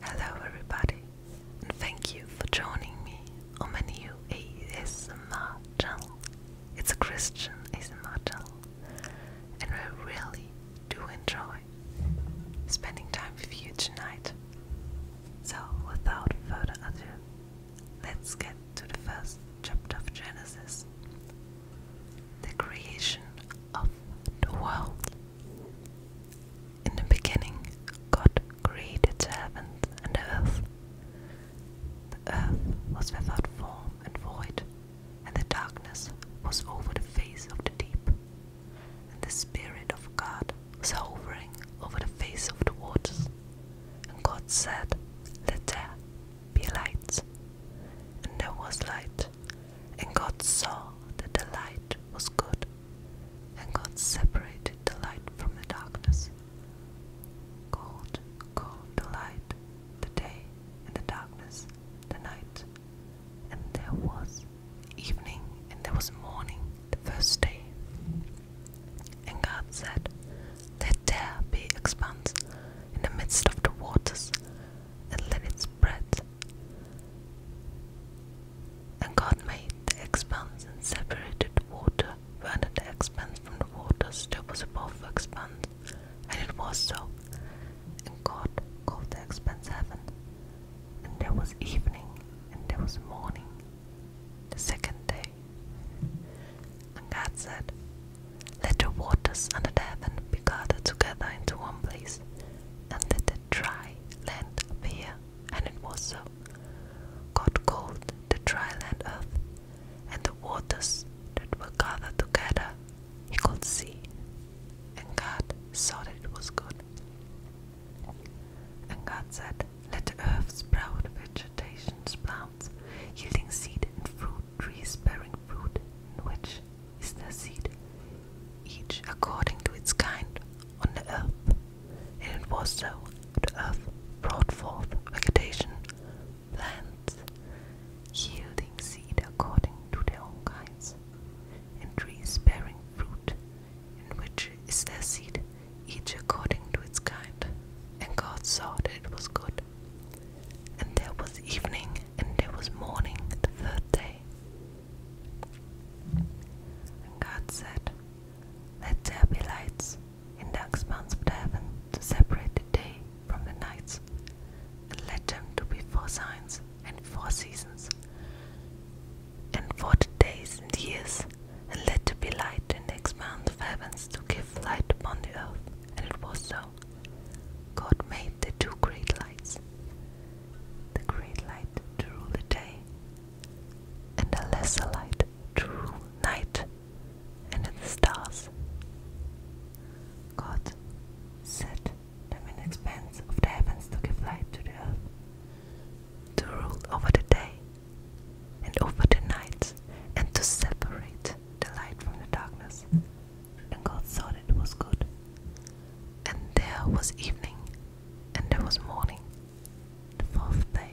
Hello, everybody, and thank you for joining me on my new ASMR channel. It's a Christian ASMR channel, and we really do enjoy spending time with you tonight. So, without further ado, let's get to the first chapter of Genesis the creation of the world. In the beginning, God created heaven and earth. The earth was without form and void, and the darkness was over the face of the deep. And the Spirit of God was hovering over the face of the waters. And God said, Let there be light. And there was light. And God saw that the light was good. And God separated the light from the darkness. God called the light the day, and the darkness the night. And there was evening, and there was morning the first day. And God said, Let there be expanse in the midst of the waters, and let it spread. And God made the expanse and separated the water under the expanse from the waters that was above the expanse. And it was so. And God called the expanse heaven. And there was evening, and there was morning, the second day. And God said, Let the waters under the heaven be gathered together into one place, and let the dry land appear. And it was so. God called the dry land earth, and the waters that were gathered together he called sea. And God saw that it was good. And God said, Let the earth sprout vegetation, plants, yielding seed and fruit, trees bearing fruit, in which is their seed, each according to its kind on the earth. And it was so. The earth brought forth vegetation, plants, yielding seed according to their own kinds, and trees bearing fruit and which is their seed, each according to its kind. And God saw that it was good. And there was evening, and there was morning the third day. And God said, Let there be lights in the expanse of the heaven to separate the day from the night, and let them to be four signs and four seasons, and forty days and years, and let there be light, in the expanse of heavens to give light upon the earth, and it was so. God made the two great lights, the great light to rule the day, and a lesser light to rule night, and the stars. God said, the expanse of the heavens to give light to the earth, to rule over the day and over the night, and to separate the light from the darkness. And God saw it was good. And there was evening, and there was morning, the fourth day.